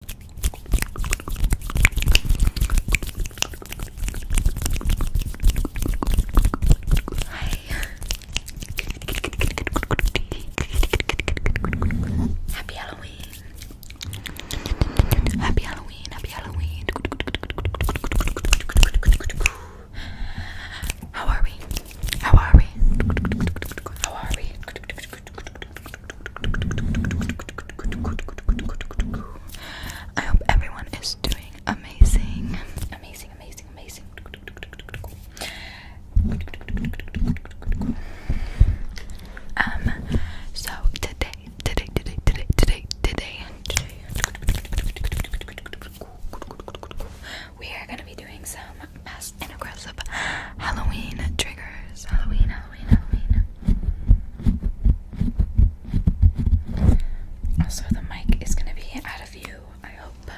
Happy Halloween. Happy Halloween. Happy Halloween. How are we? How are we? How are we? I hope everyone is doing amazing. Amazing, amazing, amazing. Um so today, today, today, today, today, today, we are gonna be doing some mass and aggressive Halloween triggers. Halloween, Halloween, Halloween. Also, the mic is gonna be out of view, I hope.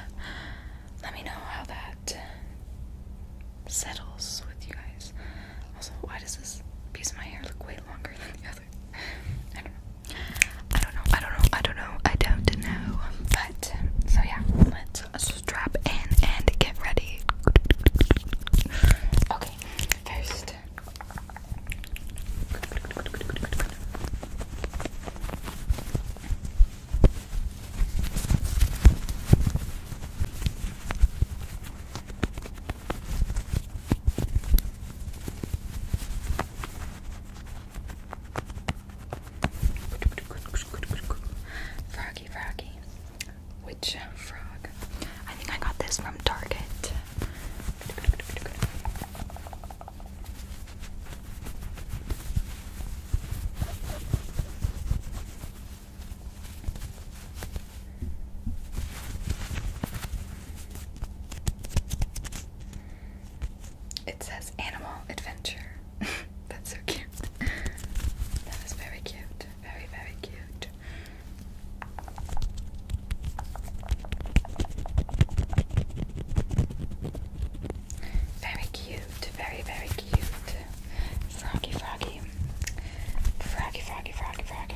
Let me know how that settles with you guys. Also, why does this piece of my hair look way longer than the other? I don't know. I don't know. I don't know. I don't know. I don't know. But so yeah, let's strap in and get ready. Okay, first. Froggy, froggy. Which frog. I think I got this from Target. It says animal adventure. That's so cute. That is very cute. Very, very cute. Very cute, very, very cute. Froggy, froggy. Froggy, froggy, froggy, froggy.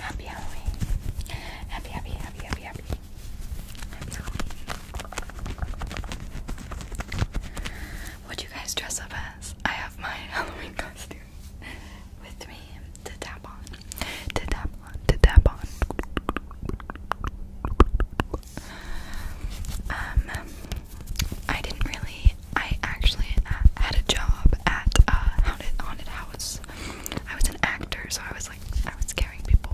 Happy Halloween. Happy, happy, happy, happy, happy. What do you guys dress up as? I have my Halloween costume with me to tap on. To tap on, to tap on. Um, I didn't really. I actually had a job at a uh, haunted, haunted house I was an actor, so I was like, I was scaring people.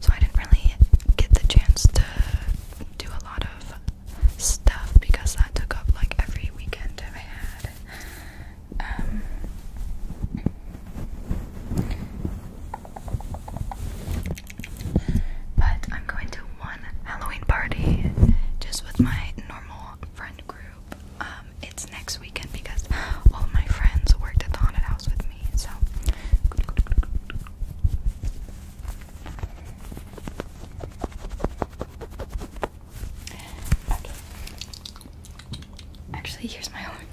So I didn't really get the chance to do a lot of stuff because that took up like every weekend I had. Um, but I'm going to one Halloween party just with my normal friend group. Um, it's next weekend because all my friends worked at the haunted house with me, so. Actually, here's my homework.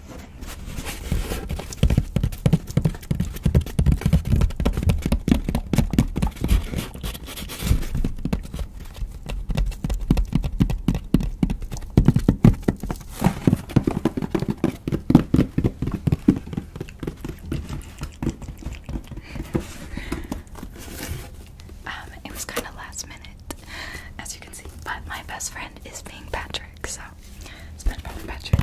Um, it was kind of last minute, as you can see, but my best friend is being Patrick. Patrick, so SpongeBob and Patrick.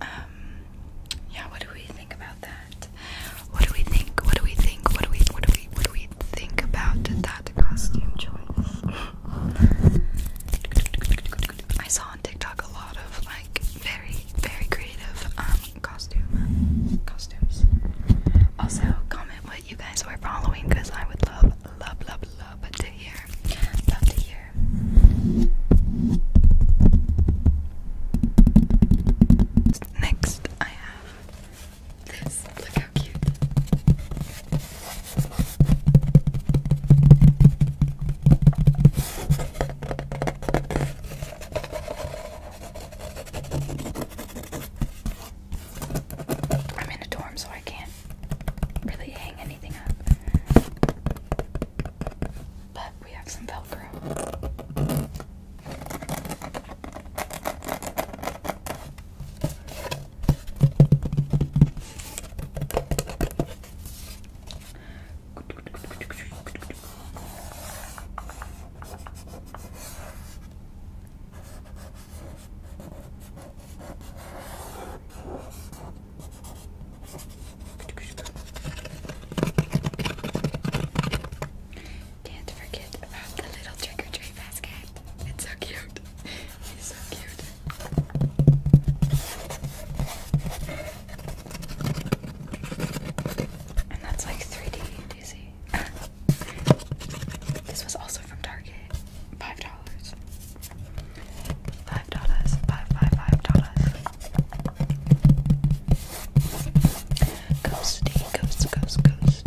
Um, yeah, what do we think about that? What do we think? What do we think? What do we what do we what do we think about that costume choice? I saw on TikTok a lot of like very, very creative um costume costumes. Also, comment what you guys were following because I would love, love, love, love to hear. Love to hear. Next, I have this. Look how cute. I'm in a dorm, so I can't really hang anything up. But we have some Velcro. Can't forget about the little trick or treat basket. It's so cute. It's so cute. And that's like 3D Daisy. this was also from Target. Five dollars. Five dollars. Five five five dollars. Ghosty, ghost, ghost, ghost.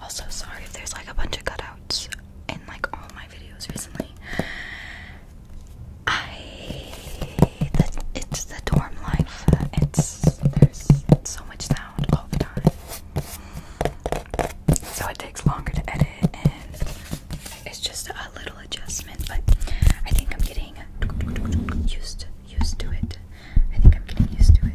Also, sorry if there's like a bunch of cutouts in like all my videos recently. I it's the dorm life. It's there's so much sound all the time, so it takes longer to edit, and it's just a little adjustment. But I think I'm getting used used to it. I think I'm getting used to it.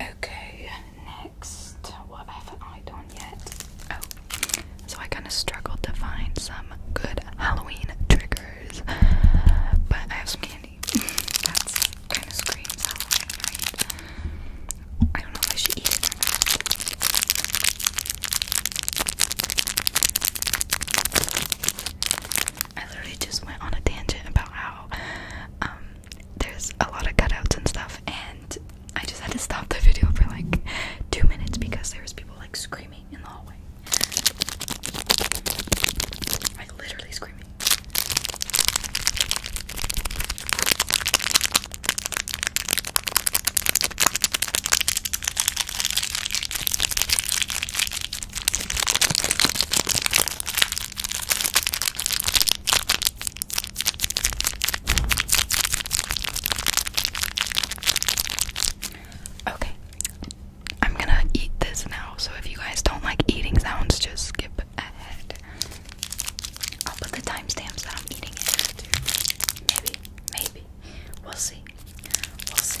Okay, next, what have I done yet? Oh, so I kind of struggled to find some good Halloween triggers, but I have some candy. That's kind of screams Halloween, right? I don't know if I I literally just went on a tangent about how um, there's a lot of cutouts and stuff, and I just had to stop the video for like two minutes because there was people like screaming in the hallway, like literally screaming. Okay, I'm gonna eat this now. So if you guys don't like eating sounds, just skip ahead. I'll put the timestamps that I'm eating it too. Maybe, maybe. We'll see. We'll see.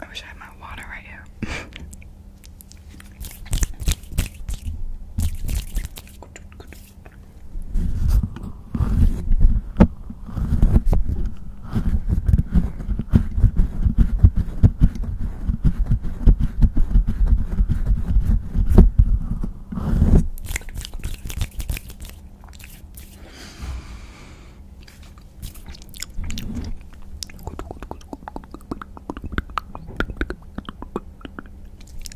I wish I had my water right here. I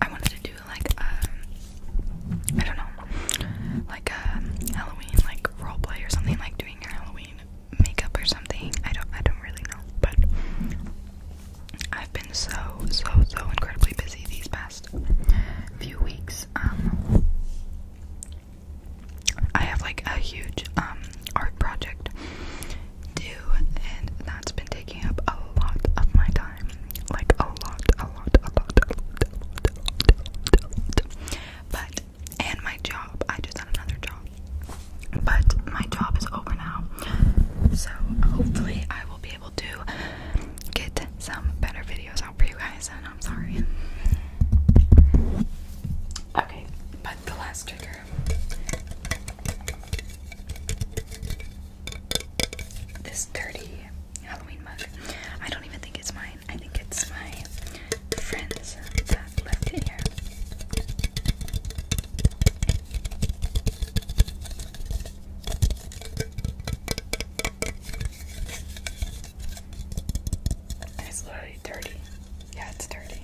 wanted to do like um, I don't know like a um, Halloween like role play or something like doing your Halloween makeup or something. I don't I don't really know, but I've been so so so incredibly busy these past few weeks. Um I have like a huge um art project due and that's been taking up a lot of my time. Like a lot, a lot, a lot, a lot, But and my job. I just had another job. But my job is over now, so hopefully I will be able to get some better videos out for you guys. And I'm sorry. Okay, but the last trigger. This dirty Halloween mug. I don't even think it's mine. I think it's my friends that left it here. And it's literally dirty. Yeah, it's dirty.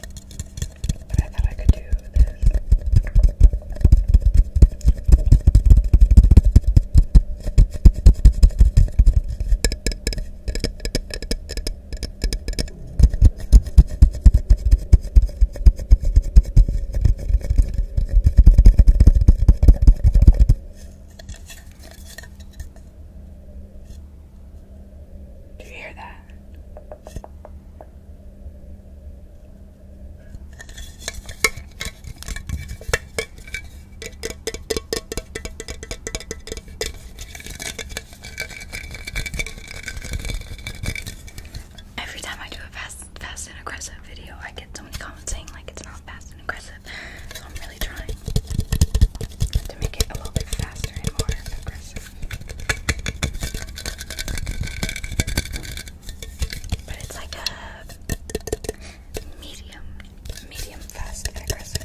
But I thought I could do this. Do you hear that? Every time I do a fast, fast and aggressive video, I get so many comments saying like it's not fast and aggressive. So I'm really trying to make it a little bit faster and more aggressive. But it's like a medium, medium fast and aggressive,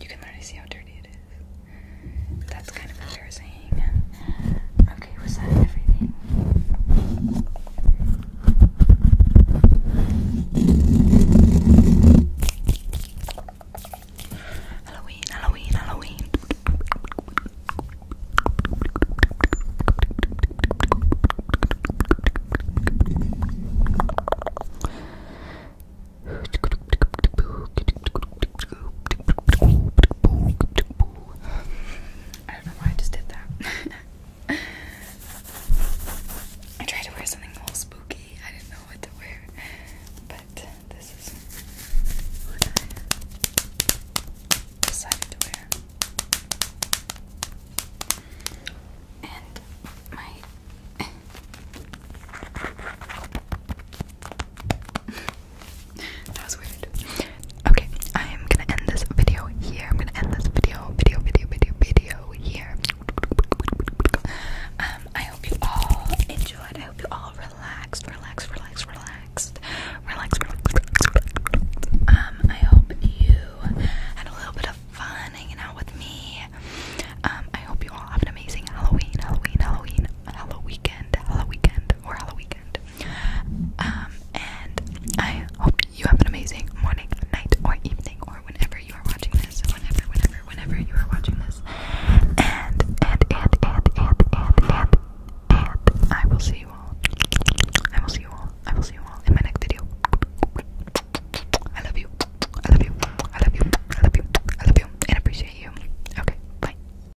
You can literally see how dirty it is. That's kind of embarrassing. Okay, was that everything? Halloween, Halloween, Halloween. I don't know why I just did that. I tried to wear something a little spooky. I didn't know what to wear. But this is what I decided to wear. And my That was weird. Okay, I am gonna end this video here. I'm gonna end this video, video, video, video, video here. Um, I hope you all enjoyed. I hope you all relaxed, relaxed, relaxed, relaxed, relaxed, relaxed. Um, I hope you had a little bit of fun hanging out with me. Um, I hope you all have an amazing Halloween, Halloween, Halloween, Halloween weekend, Halloween weekend, or Halloween weekend. Um, and I hope you have an amazing morning, night, or evening, or whenever you are watching this. Whenever, whenever, whenever you are watching this. And, and, and, and, and, and, and, I will see you all. I will see you all. I will see you all in my next video. I love you. I love you. I love you. I love you. I love you. And appreciate you. Okay, bye.